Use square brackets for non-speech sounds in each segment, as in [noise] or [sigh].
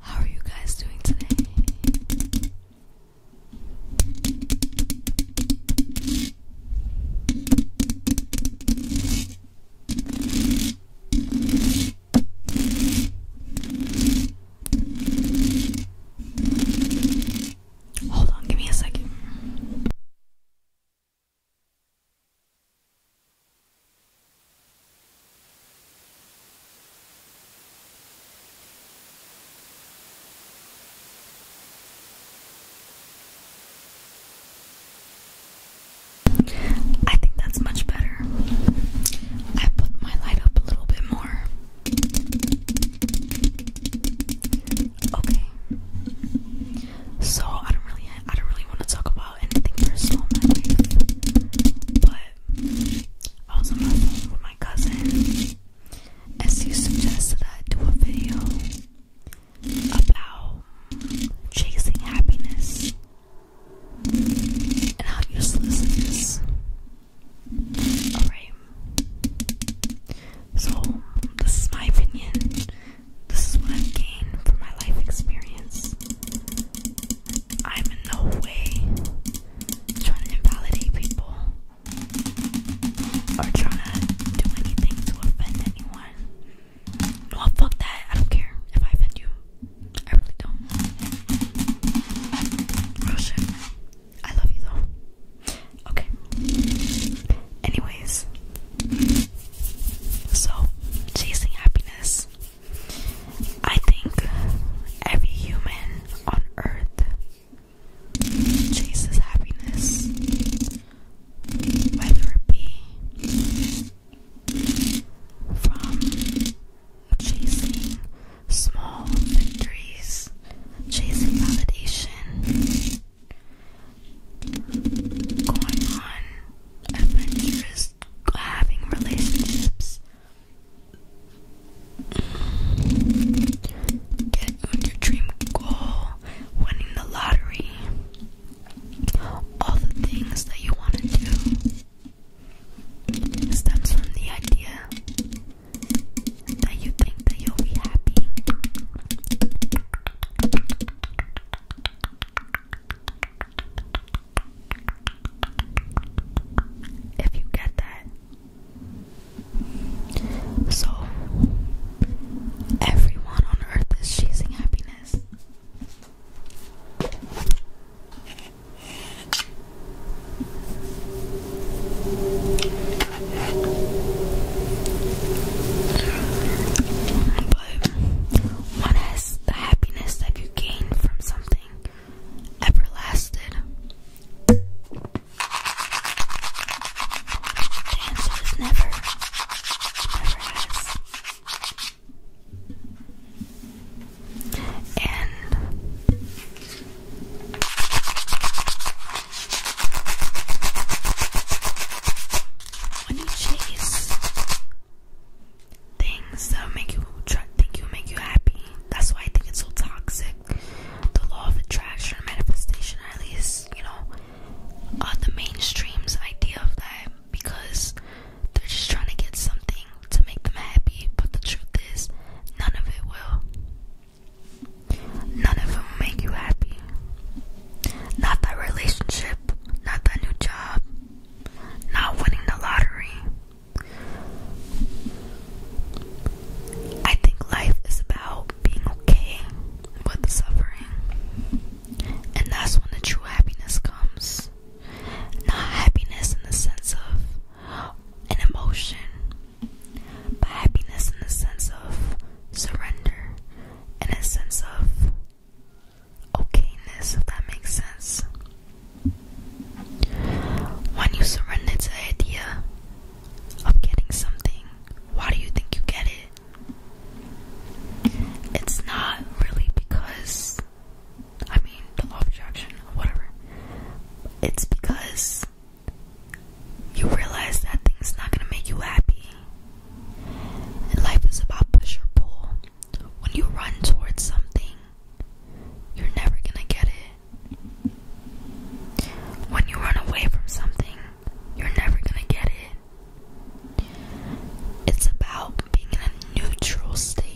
How are you guys doing today? Hold on, give me a second. I think that's much better. I put my light up a little bit more. Okay. So I don't really, I don't really want to talk about anything personal but I was on the phone with my cousin, and she suggested I do a video about chasing happiness and how useless it is. Alright. So, this is my opinion. This is what I've gained from my life experience. I'm in no way trying to invalidate people or trying to do anything to offend anyone. Well, fuck that. I don't care if I offend you. I really don't. Oh, I love you though. Okay. Anyways, so chasing happiness. I think every human on earth chases happiness, whether it be from chasing small victories, chasing validation, going on adventures, having relationships. Get on your dream goal, winning the lottery, all the things that you want to do stems from the idea that you think that you'll be happy. If you get that. So everyone on earth is chasing happiness. But one the happiness that you gain from something everlasting. The answer is never, never has. And when you chase things that make you think you make you happy, that's why I think it's so toxic. The law of attraction, manifestation, at least you know, uh, the mainstream's idea of that, because they're just trying to get something to make them happy. But the truth is, none of it will. None of them make you happy. Not that relationship, not that new job, not winning the lottery. I think life is about being okay with suffering. And that's when the true happiness comes. Not happiness in the sense of an emotion, by happiness in the sense of surrender, in a sense of okayness, if that makes sense. When you surrender to the idea of getting something, why do you think you get it? It's not really because, I mean, the law of attraction, whatever it's because you realize that thing's not gonna make you happy. And life is about push or pull. When you run towards something, you're never gonna get it. When you run away from something, you're never gonna get it. It's about being in a neutral state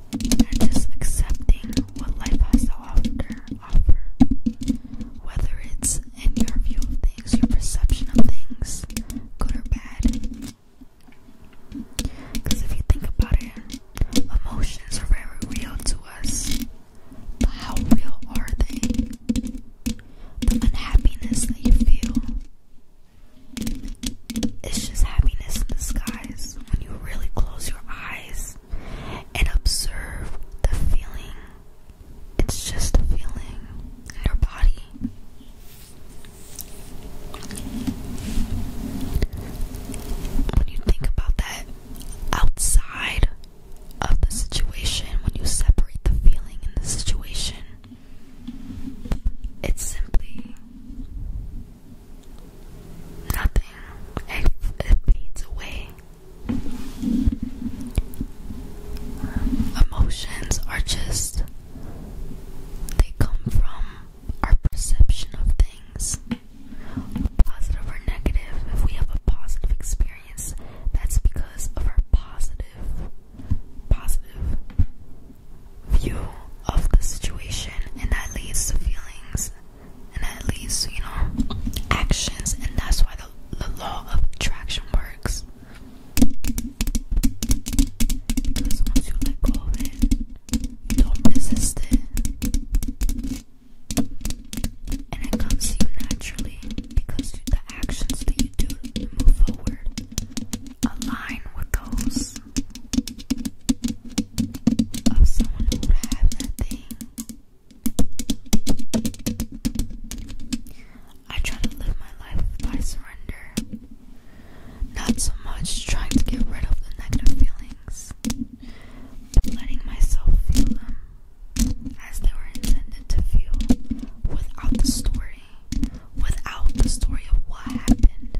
they just accepting what life has to offer. Whether it's in your view of things, your perception of things, good or bad. Because if you think about it, emotions are very real to us. But how real are they? The unhappiness that you feel, it's just happiness in disguise when you really close your eyes and observe the feeling. It's just a feeling in your body. When you think about that outside of the situation, when you separate the feeling and the situation, it's simply nothing. It, fades away. Emotions are just, they come from our perception of things, positive or negative. If we have a positive experience, that's because of our positive, positive view of the situation, and that leads to feelings, and that leads you know, actions, and that's why the, the law of attraction works. Because once you let go of don't resist it, and it comes to you naturally because the actions that you do move forward align with those of someone who would have that thing. I try to live my life by surrender, not so much trying to get rid of the negative feelings, letting myself feel them as they were intended to feel without the storage without the story of what happened.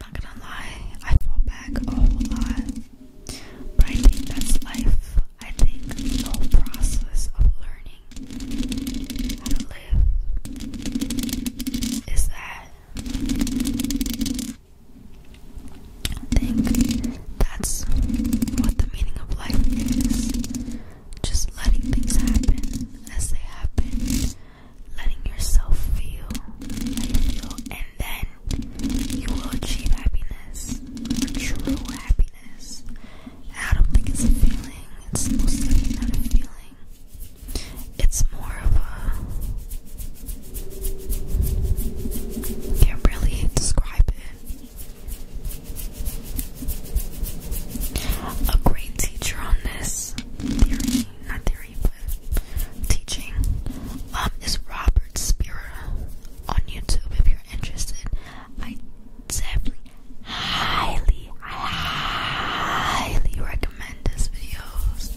Not gonna lie, I fall back a whole lot. But that's life. I think the whole process of learning how to live is that. I think that's what the meaning of life is. Just letting things happen as they happen, letting yourself feel how feel, and then you will achieve happiness, true happiness. I don't think it's a feeling, it's mostly not a feeling. It's more of a. I can't really describe it a great teacher on this theory, not theory, but teaching, um, is Robert Spira on YouTube if you're interested. I definitely highly, highly recommend his videos.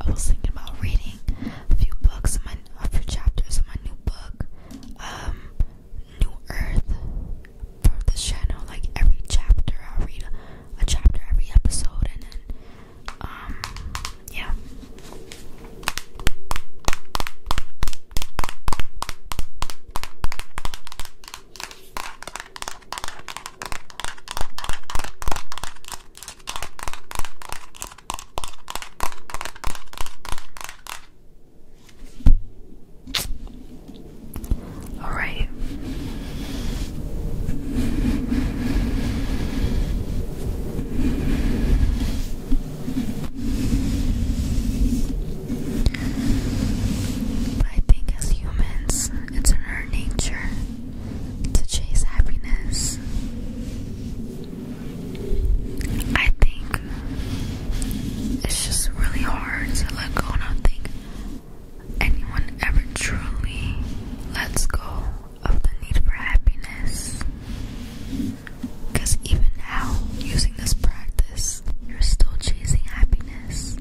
I was thinking about reading a few books, of my, a few chapters of my new book, um, New Earth, for this channel. Like every chapter, I'll read a chapter every episode, and then, um, yeah. All right. I think as humans, it's in our nature to chase happiness. I think it's just really hard to let go, and I don't think anyone ever truly lets go of the need for happiness. Because even now, using this practice, you're still chasing happiness,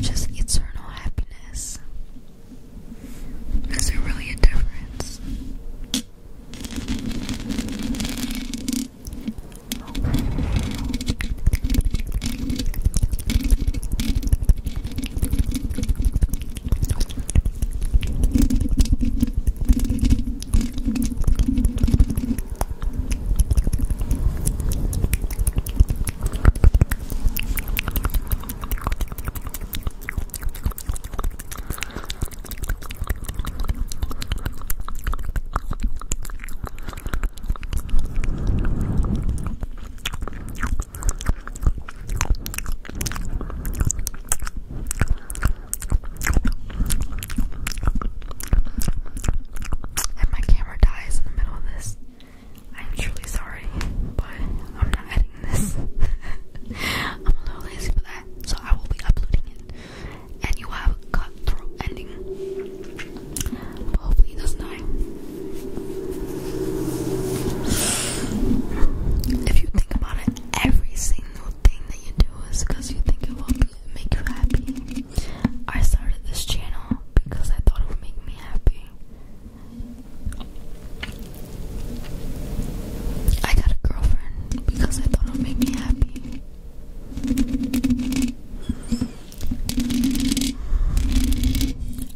just eternal happiness. Is there really a difference? If my camera dies in the middle of this, I'm truly sorry, but I'm not editing this. [laughs] I'm a little lazy for that, so I will be uploading it. And you have a cutthroat ending. hopefully, it doesn't die. If you think about it, every single thing that you do is because you think it will make you happy. I started this channel because I thought it would make me happy. I got a girlfriend because I thought it would make me happy.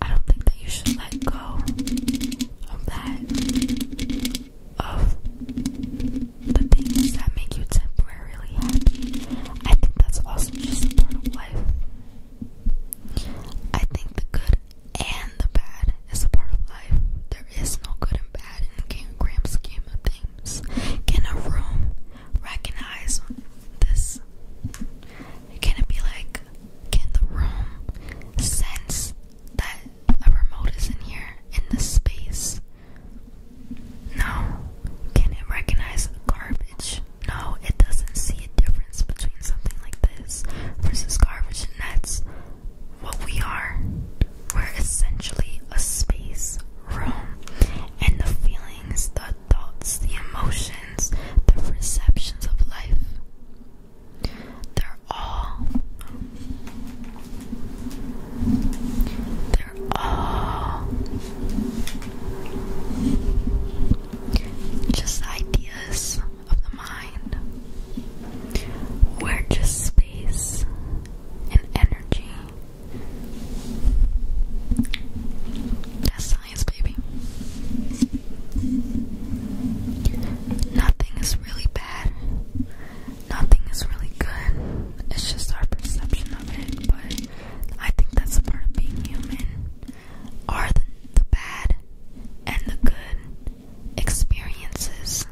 I don't think that you should let go of that, of the things that make you temporarily happy. I think that's also just part of life. I think the good and the bad is a part of life. There is no good and bad in the grand scheme of things. Can a room recognize this? Can it be like, can the room sense that a remote is in here, in this space? No. Can it recognize garbage? No, it doesn't see a difference between something like this versus garbage, and that's what we are. We're essentially a space room, and the feelings, the thoughts, the emotions, the perceptions of life, they're all. They're all just ideas of the mind. We're just space and energy. That's science, baby. Nothing is really bad. Nothing is really good. It's just our perception of it, but I think that's a part of being human. Are the, the bad and the good experiences.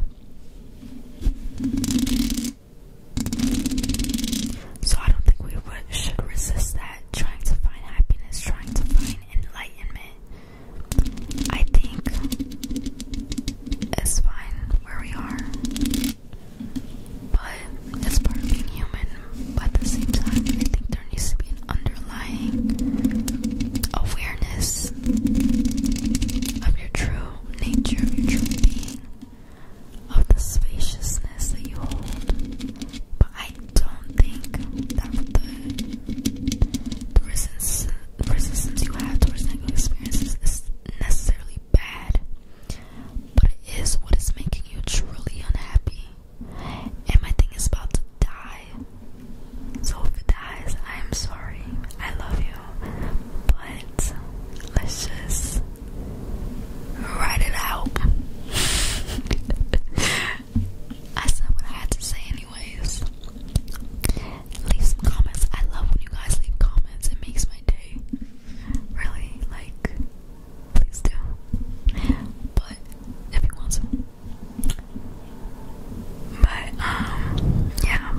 So I don't think we should resist that. Trying to find happiness, trying to find enlightenment. I think it's fine where we are. But that's part of being human. But at the same time, I think there needs to be an underlying awareness of your true nature, of your true being, of the spaciousness that you hold. But I don't think that the, the resistance, you have towards negative experiences is necessarily bad but it is what is making you truly unhappy. And my thing is about to die. So if it dies, I am sorry. I love you. But let's just write it out. [laughs] I said what I had to say, anyways. Leave some comments. I love when you guys leave comments. It makes my day. Really, like please do. But if you want some. But um yeah.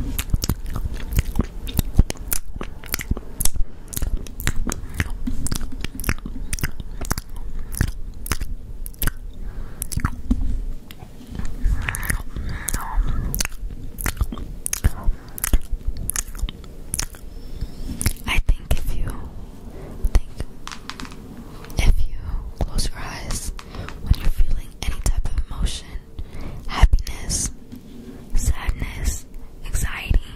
I think if you think if you close your eyes when you're feeling any type of emotion, happiness, sadness, anxiety,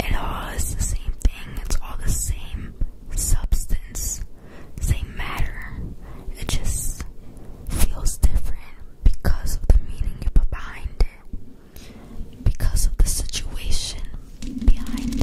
it all is the same thing. It's all the same substance, same matter. It just feels different because of the meaning you put behind it because of the situation behind it.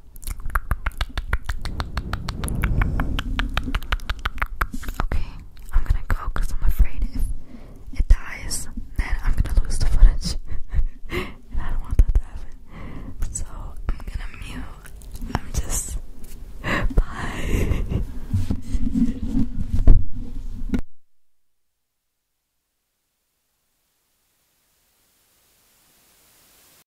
Okay, I'm gonna go I'm afraid if it dies, then I'm gonna lose the footage. [laughs] and I don't want that to happen. So I'm gonna mute. I'm just. [laughs] Bye. [laughs]